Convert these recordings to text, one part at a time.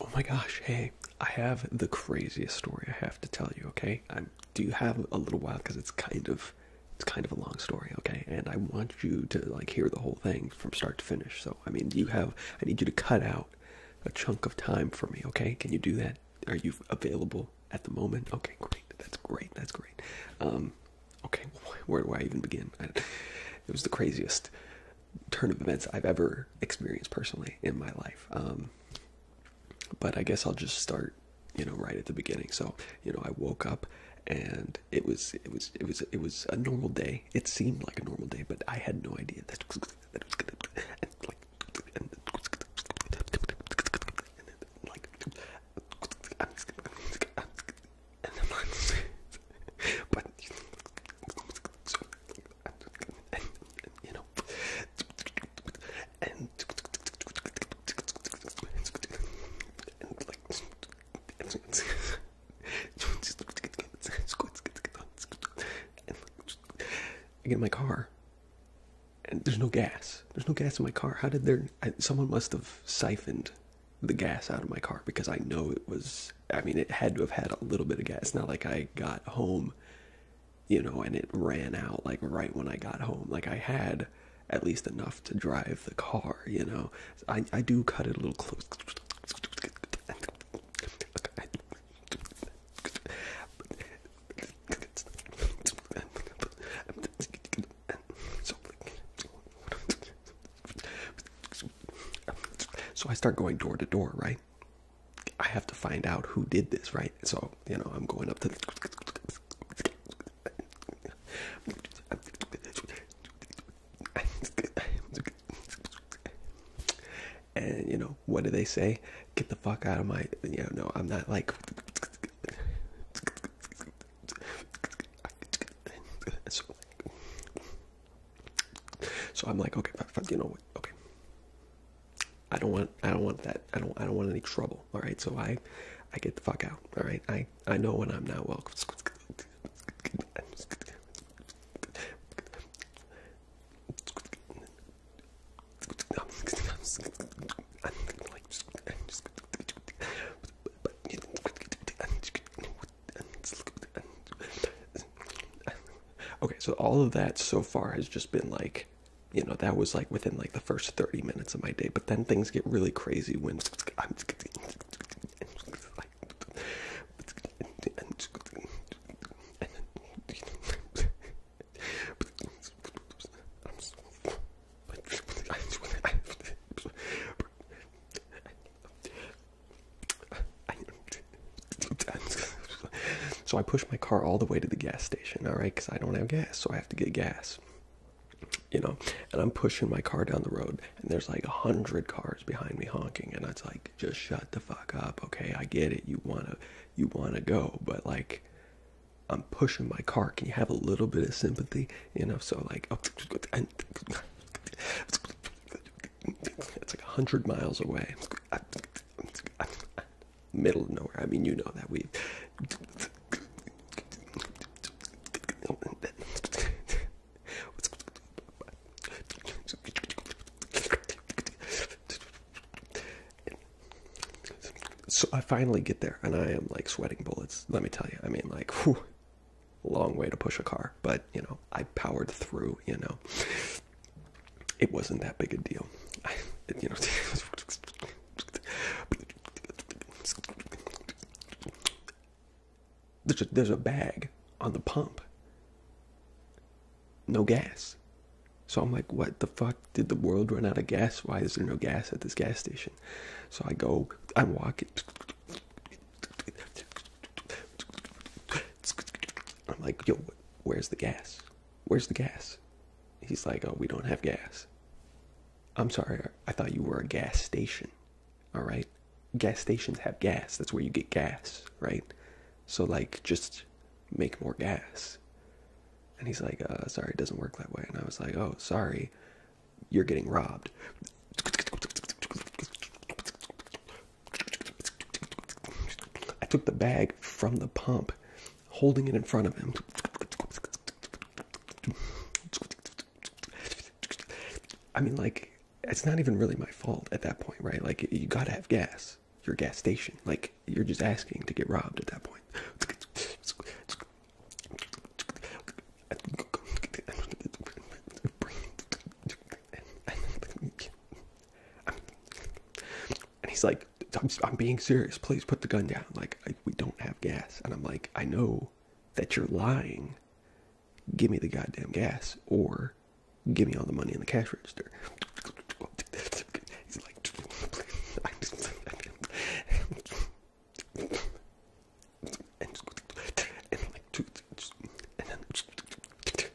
Oh my gosh, hey, I have the craziest story I have to tell you, okay? I do have a little while because it's kind of it's kind of a long story, okay? And I want you to like hear the whole thing from start to finish. So, I mean, do you have I need you to cut out a chunk of time for me, okay? Can you do that? Are you available at the moment? Okay, great. That's great. That's great. Um okay, where do I even begin? it was the craziest turn of events I've ever experienced personally in my life. Um, but I guess I'll just start, you know, right at the beginning. So, you know, I woke up and it was it was it was it was a normal day. It seemed like a normal day, but I had no idea that was going you know, and, I get in my car, and there's no gas. There's no gas in my car. How did there? someone must have siphoned the gas out of my car because I know it was I mean, it had to have had a little bit of gas. Not like I got home, you know, and it ran out like right when I got home. Like I had at least enough to drive the car, you know. I I do cut it a little close. So I start going door to door, right? I have to find out who did this, right? So, you know, I'm going up to the. And, you know, what do they say? Get the fuck out of my. You know, no, I'm not like. So I'm like, okay, you know what? Okay, I don't want, I don't want that. I don't, I don't want any trouble. All right, so I, I get the fuck out. All right, I, I know when I'm not welcome. Okay, so all of that so far has just been like, you know, that was like within like the first 30 minutes of my day, but then things get really crazy when I'm so I push my car all the way to the gas station, all right, because I don't have gas, so I have to get gas. You know, and I'm pushing my car down the road, and there's like a hundred cars behind me honking, and I'm like, just shut the fuck up, okay? I get it, you wanna, you wanna go, but like, I'm pushing my car. Can you have a little bit of sympathy? You know, so like, oh, it's like a hundred miles away. Middle of nowhere. I mean, you know that we. So I finally get there, and I am like sweating bullets. Let me tell you. I mean, like, long way to push a car, but you know, I powered through. You know it wasn't that big a deal. you know, there's a, there's a bag on the pump. No gas. So I'm like, what the fuck? Did the world run out of gas? Why is there no gas at this gas station? So I go, I'm walking. I'm like, yo, where's the gas? Where's the gas? He's like, oh, we don't have gas. I'm sorry, I thought you were a gas station. All right, gas stations have gas. That's where you get gas, right? So like, just make more gas. And he's like, uh, sorry, it doesn't work that way. And I was like, oh, sorry, you're getting robbed. I took the bag from the pump, holding it in front of him. I mean, like, it's not even really my fault at that point, right? Like, you gotta have gas. Your gas station. Like, you're just asking to get robbed at that point. and he's like I'm, being serious please put the gun down like we don't have gas and i'm like i know that you're lying give me the goddamn gas or give me all the money in the cash register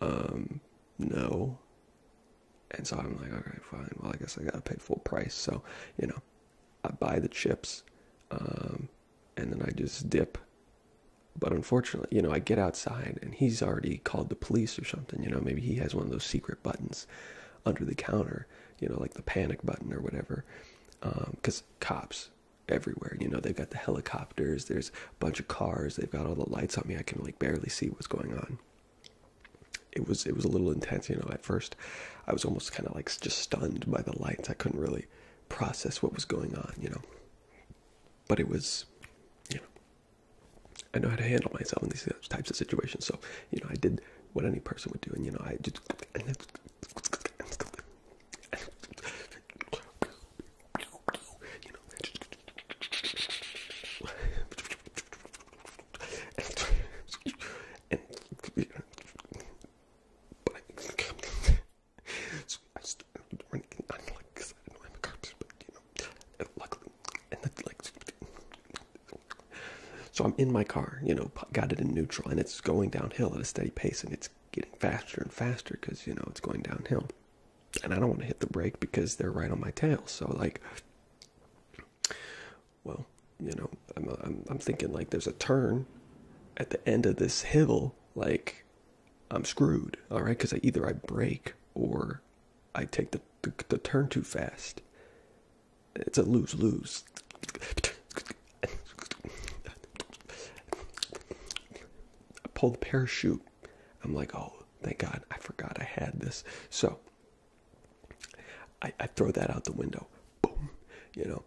um no and so i'm like okay fine well i guess i gotta pay full price so you know i buy the chips um and then i just dip but unfortunately you know i get outside and he's already called the police or something you know maybe he has one of those secret buttons under the counter you know like the panic button or whatever um because cops everywhere. You know, they've got the helicopters, there's a bunch of cars, they've got all the lights on me. I can like barely see what's going on. It was it was a little intense, you know. At first, I was almost kind of like just stunned by the lights. I couldn't really process what was going on, you know. But it was, you know, I know how to handle myself in these types of situations. So, you know, I did what any person would do, and you know, I just so I'm in my car, you know, got it in neutral, and it's going downhill at a steady pace, and it's getting faster and faster because you know it's going downhill and i don't want to hit the brake because they're right on my tail so like well you know I'm, I'm thinking like there's a turn at the end of this hill like i'm screwed all right because either i break or i take the, the turn too fast it's a lose lose I pull the parachute. I'm like, oh, thank God, I forgot I had this. So I, throw that out the window. Boom, you know.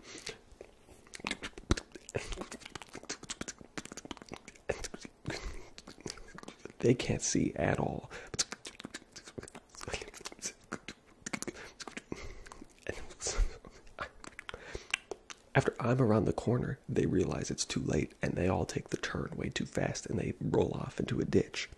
They can't see at all. After I'm around the corner, they realize it's too late and they all take the turn way too fast and they roll off into a ditch.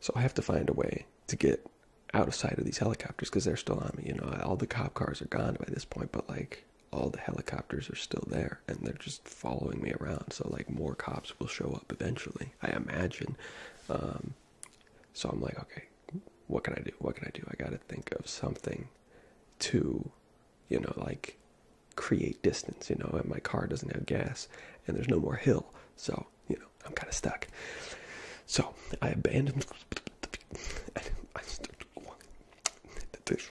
so I have to find a way to get out of sight of these helicopters because they're still on me. You know, all the cop cars are gone by this point, but like all the helicopters are still there and they're just following me around so like more cops will show up eventually i imagine um, so i'm like okay what can i do what can i do i gotta think of something to you know like create distance you know and my car doesn't have gas and there's no more hill so you know i'm kind of stuck so i abandoned this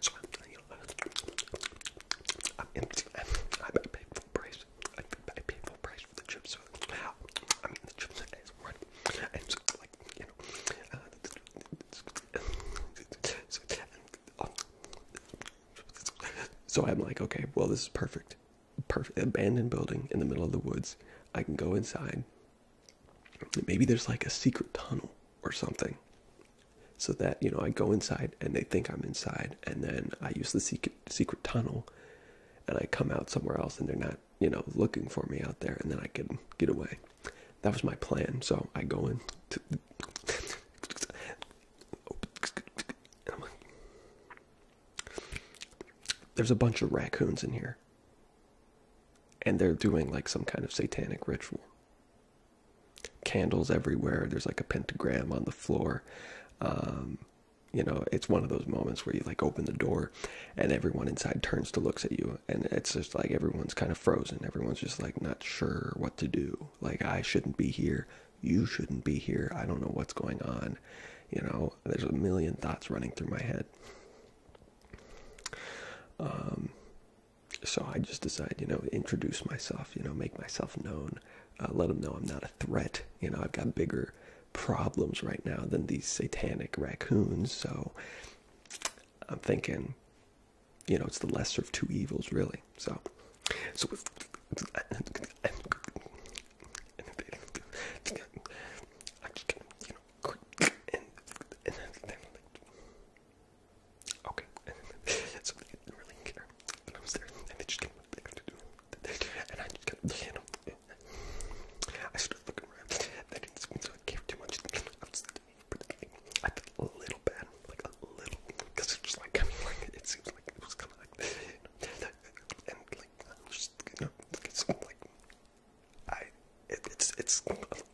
So I'm, you know, I'm empty. I'm, I paid price. I, I paid price for the chips. I mean, the chips is right. And so I'm like, okay, well, this is perfect. Perfect abandoned building in the middle of the woods. I can go inside. Maybe there's like a secret tunnel or something so that you know I go inside and they think I'm inside, and then I use the secret tunnel, and I come out somewhere else, and they're not you know looking for me out there, and then I can get away. That was my plan. So I go in. There's a bunch of raccoons in here, and they're doing like some kind of satanic ritual candles everywhere. There's like a pentagram on the floor. Um, you know, it's one of those moments where you like open the door and everyone inside turns to looks at you. And it's just like everyone's kind of frozen. Everyone's just like not sure what to do. Like, I shouldn't be here. You shouldn't be here. I don't know what's going on. You know, there's a million thoughts running through my head. Um, so I just decided, you know, introduce myself, you know, make myself known, uh, let them know I'm not a threat. You know, I've got bigger problems right now than these satanic raccoons. So I'm thinking, you know, it's the lesser of two evils, really. So, so. I'm Okay, so I was there, and they just did what they to do. And I just got, you know, I started looking around. They didn't I gave too much. I felt a little bad, like a little, because it's just like, it seems like it was kind of like, and like, I'm just, you know, it's like, I, it's, it's,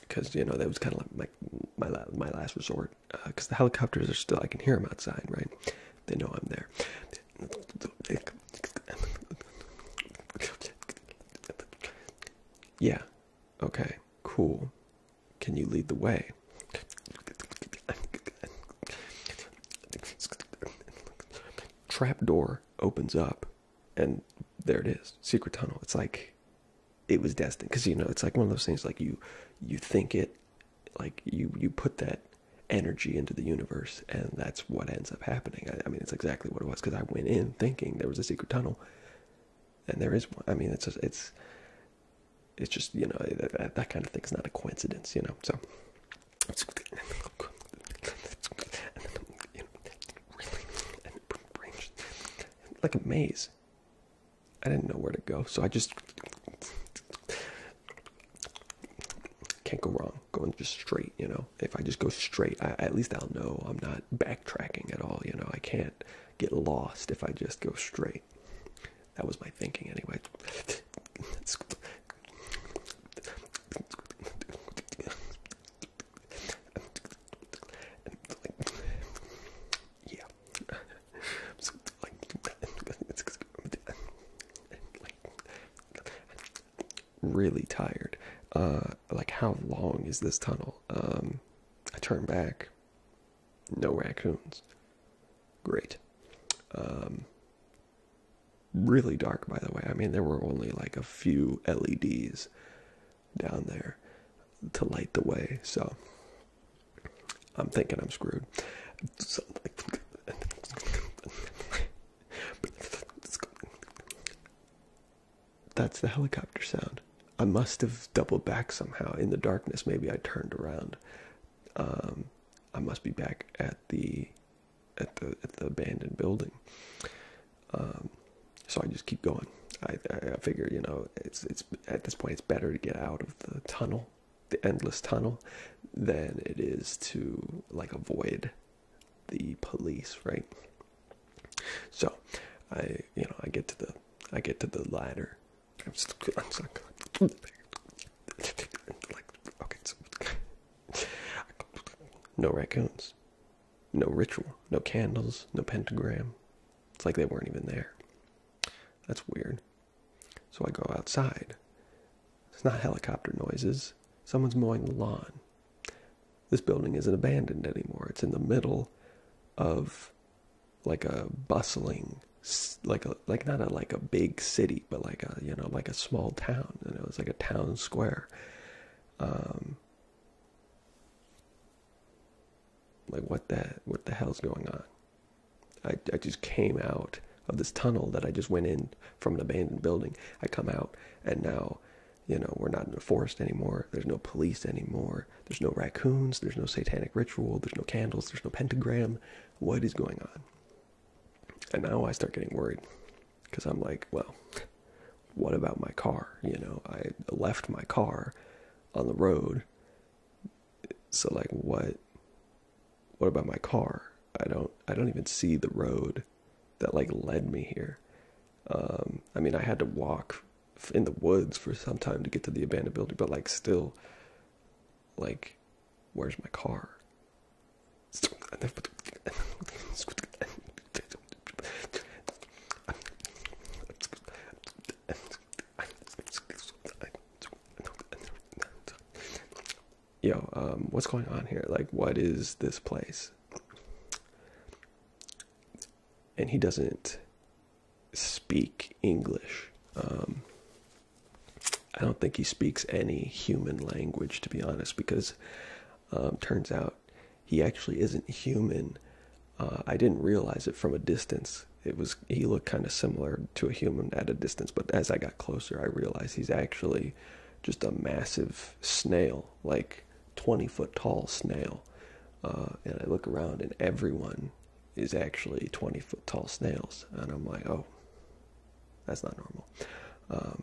because you know that was kind of like my, my my last resort. Because uh, the helicopters are still, I can hear them outside, right? They know I'm there. Yeah. Okay. Cool. Can you lead the way? Trap door opens up and there it is secret tunnel it's like it was destined because you know it's like one of those things like you you think it like you you put that energy into the universe and that's what ends up happening i, mean it's exactly what it was because i went in thinking there was a secret tunnel and there is one i mean it's just, it's it's just you know that kind of thing is not a coincidence you know so like a maze. I didn't know where to go, so I just can't go wrong going just straight, you know. If I just go straight, I, at least I'll know I'm not backtracking at all, you know. I can't get lost if I just go straight. That was my thinking anyway. yeah. really tired. Uh, like how long is this tunnel? Um, I turn back. No raccoons. Great. Um, really dark by the way i mean there were only like a few leds down there to light the way so i'm thinking i'm screwed that's the helicopter sound i must have doubled back somehow in the darkness maybe i turned around um, i must be back at the at the at the abandoned building. Um, so I just keep going. I, I figure you know it's it's at this point it's better to get out of the tunnel, the endless tunnel, than it is to like avoid the police, right? So I you know I get to the I get to the ladder. I'm stuck. I'm stuck. like okay, no raccoons no ritual, no candles, no pentagram. It's like they weren't even there. That's weird. So I go outside. It's not helicopter noises. Someone's mowing the lawn. This building isn't abandoned anymore. It's in the middle of like a bustling like a like not a like a big city but like a you know like a small town and it was like a town square um, like what the what the hell's going on? I I just came out of this tunnel that I just went in from an abandoned building. I come out and now, you know, we're not in the forest anymore. There's no police anymore. There's no raccoons. There's no satanic ritual. There's no candles. There's no pentagram. What is going on? And now I start getting worried because I'm like, well, what about my car? You know, I left my car on the road. So like what what about my car? I don't I don't even see the road that like led me here. Um I mean, I had to walk in the woods for some time to get to the abandoned building, but like still like where's my car? Yo, um, what's going on here? Like, what is this place? And he doesn't speak English. Um, I don't think he speaks any human language, to be honest, because um, turns out he actually isn't human. Uh, I didn't realize it from a distance. It was he looked kind of similar to a human at a distance, but as I got closer, I realized he's actually just a massive snail, like 20 foot tall snail. Uh, and I look around, and everyone is actually 20 foot tall snails, and I'm like, oh, that's not normal. Um,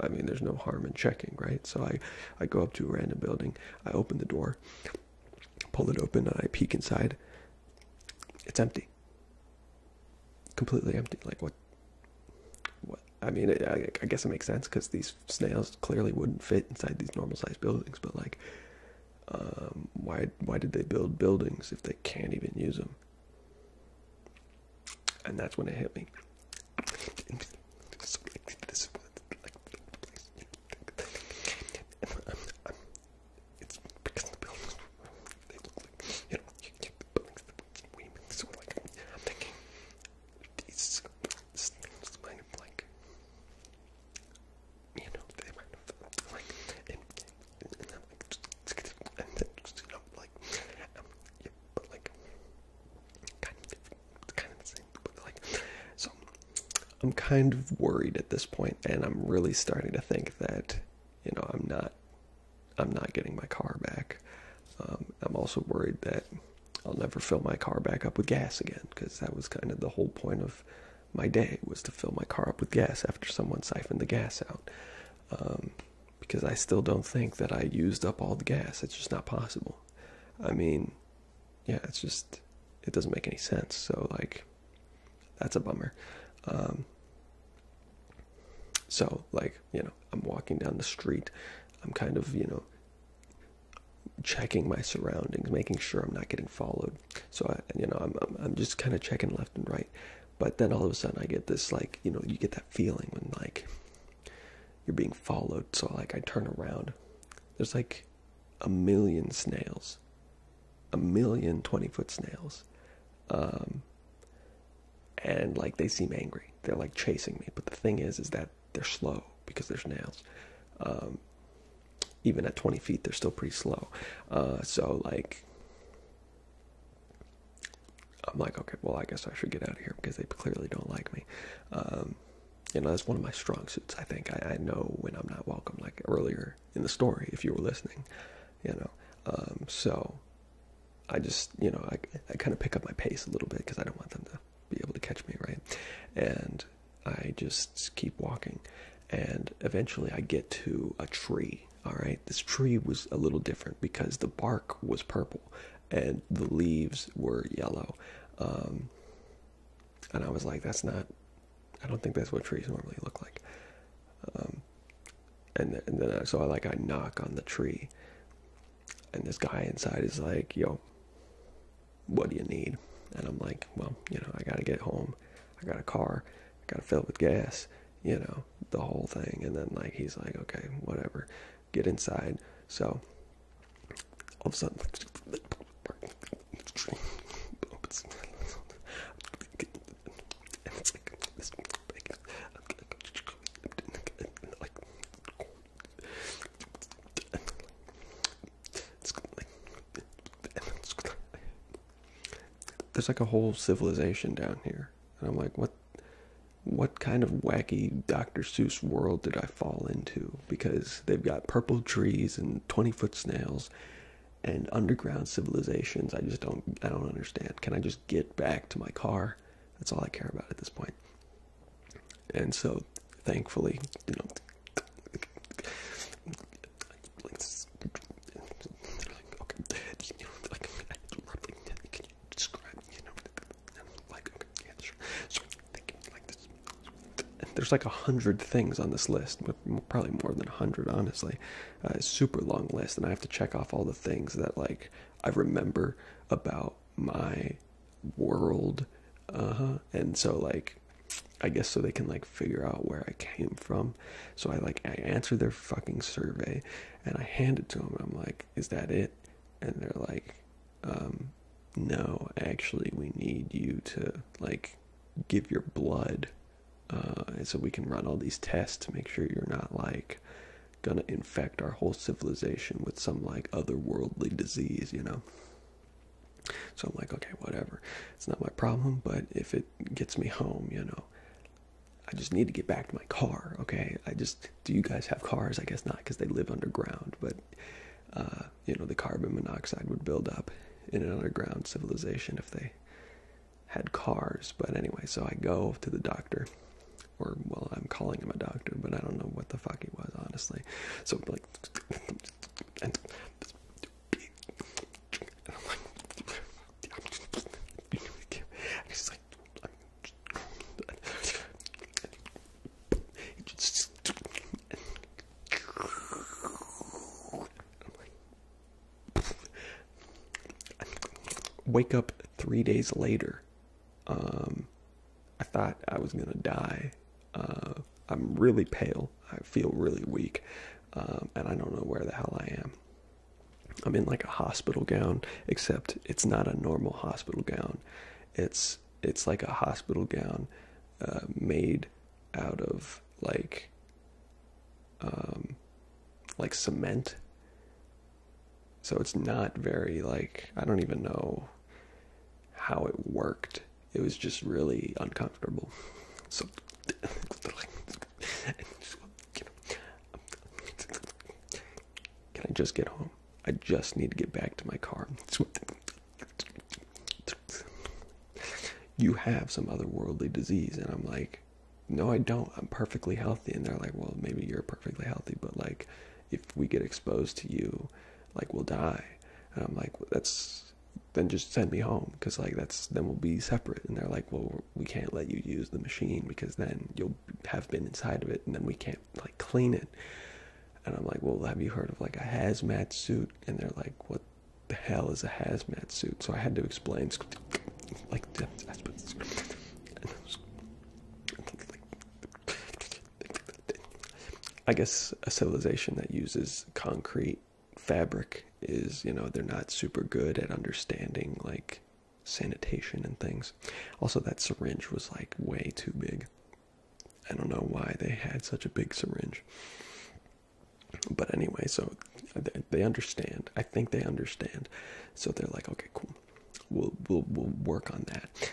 I mean, there's no harm in checking, right? So I, I go up to a random building, I open the door, pull it open, and I peek inside. It's empty. Completely empty. Like what? What? I mean, I, guess it makes sense because these snails clearly wouldn't fit inside these normal-sized buildings. But like, um, why? Why did they build buildings if they can't even use them? And that's when it hit me this is it's because the buildings they look like you know you get the buildings the women so like I'm thinking these these like you know they might have like and and, then just you know like but like kind of, it's kind of the same. Like, so I'm kind of worried at this point, and I'm really starting to think that you know I'm not, I'm not getting my car back. Um, I'm also worried that I'll never fill my car back up with gas again because that was kind of the whole point of my day was to fill my car up with gas after someone siphoned the gas out. Um, because I still don't think that I used up all the gas. It's just not possible. I mean, yeah, it's just it doesn't make any sense. So like, that's a bummer. Um, so like, you know, I'm walking down the street. I'm kind of you know checking my surroundings, making sure I'm not getting followed. So I, you know, I'm I'm, I'm just kind of checking left and right. But then all of a sudden, I get this like you know, you get that feeling when like you're being followed so like i turn around there's like a million snails a million 20 foot snails um, and like they seem angry they're like chasing me but the thing is is that they're slow because they're snails. Um, even at 20 feet they're still pretty slow uh, so like I'm like, okay, well, I guess I should get out of here because they clearly don't like me. Um, you know, that's one of my strong suits. I think I, know when I'm not welcome, like earlier in the story, if you were listening, you know. Um, so I just, you know, I, I kind of pick up my pace a little bit because I don't want them to be able to catch me, right? And I just keep walking. And eventually I get to a tree. All right, this tree was a little different because the bark was purple and the leaves were yellow. Um, and I was like, that's not, I don't think that's what trees normally look like. Um, and, then I, so I like, I knock on the tree and this guy inside is like, yo, what do you need? And I'm like, well, you know, I got to get home. I got a car. I got to fill it with gas, you know, the whole thing. And then like, he's like, okay, whatever get inside. So all of a sudden, there's like a whole civilization down here, and I'm like, what what kind of wacky Dr. Seuss world did I fall into? Because they've got purple trees and 20 foot snails and underground civilizations. I just don't, I don't understand. Can I just get back to my car? That's all I care about at this point. And so, thankfully, you know. you know, like yeah, thinking like this. there's like a hundred things on this list, probably more than a hundred, honestly. Uh, super long list, and I have to check off all the things that like I remember about my world, uh-huh. and so like I guess so they can like figure out where I came from. So I like I answer their fucking survey, and I hand it to them. I'm like, is that it and they're like um no actually we need you to like give your blood uh so we can run all these tests to make sure you're not like gonna infect our whole civilization with some like otherworldly disease you know so i'm like okay whatever it's not my problem but if it gets me home you know I just need to get back to my car. Okay, I just do you guys have cars? I guess not because they live underground, but uh, you know, the carbon monoxide would build up in an underground civilization if they had cars. But anyway, so I go to the doctor, or well, I'm calling him a doctor, but I don't know what the fuck he was, honestly. So, like, I'm just like, Wake up three days later. Um, I thought I was gonna die. Uh, I'm really pale. I feel really weak, um, and I don't know where the hell I am. I'm in like a hospital gown, except it's not a normal hospital gown. It's it's like a hospital gown uh, made out of like um, like cement. So it's not very like I don't even know how it worked. It was just really uncomfortable. So. Can I just get home? I just need to get back to my car. You have some otherworldly disease. And I'm like, no, I don't. I'm perfectly healthy. And they're like, well, maybe you're perfectly healthy, but like, if we get exposed to you, like, we'll die. And I'm like, that's then just send me home because, like, that's then we'll be separate. And they're like, well, we can't let you use the machine because then you'll have been inside of it and then we can't like clean it and i'm like well have you heard of like a hazmat suit and they're like what the hell is a hazmat suit so i had to explain like i guess a civilization that uses concrete fabric is you know they're not super good at understanding like sanitation and things. Also, that syringe was like way too big. I don't know why they had such a big syringe. But anyway, so they understand. I think they understand. So they're like, okay, cool. We'll we'll we'll work on that.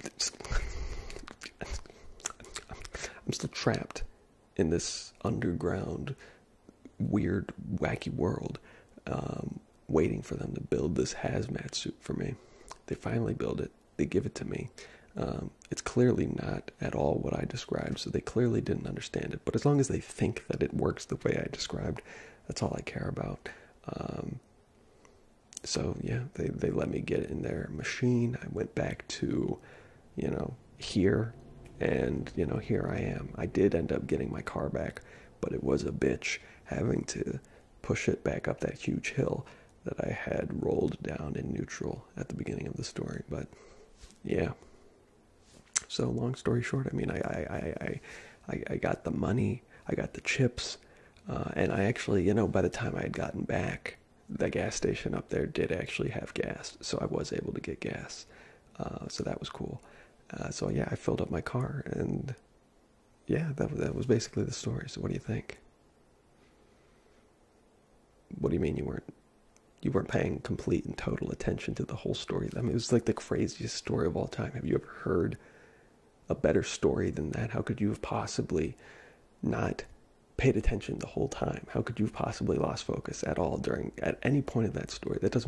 I'm still trapped in this underground weird, wacky world um, waiting for them to build this hazmat suit for me. They finally build it, they give it to me. Um, it's clearly not at all what I described, so they clearly didn't understand it. But as long as they think that it works the way I described, that's all I care about. Um, so yeah, they, they let me get in their machine. I went back to, you know, here and you know, here I am. I did end up getting my car back but it was a bitch having to push it back up that huge hill that I had rolled down in neutral at the beginning of the story. But yeah. So long story short, I mean, I I I I, I got the money, I got the chips, uh, and I actually, you know, by the time I had gotten back, the gas station up there did actually have gas, so I was able to get gas. Uh, so that was cool. Uh, so yeah, I filled up my car, and yeah, that that was basically the story. So what do you think? What do you mean you weren't you weren't paying complete and total attention to the whole story? I mean, it was like the craziest story of all time. Have you ever heard a better story than that? How could you have possibly not paid attention the whole time? How could you have possibly lost focus at all during at any point of that story? That doesn't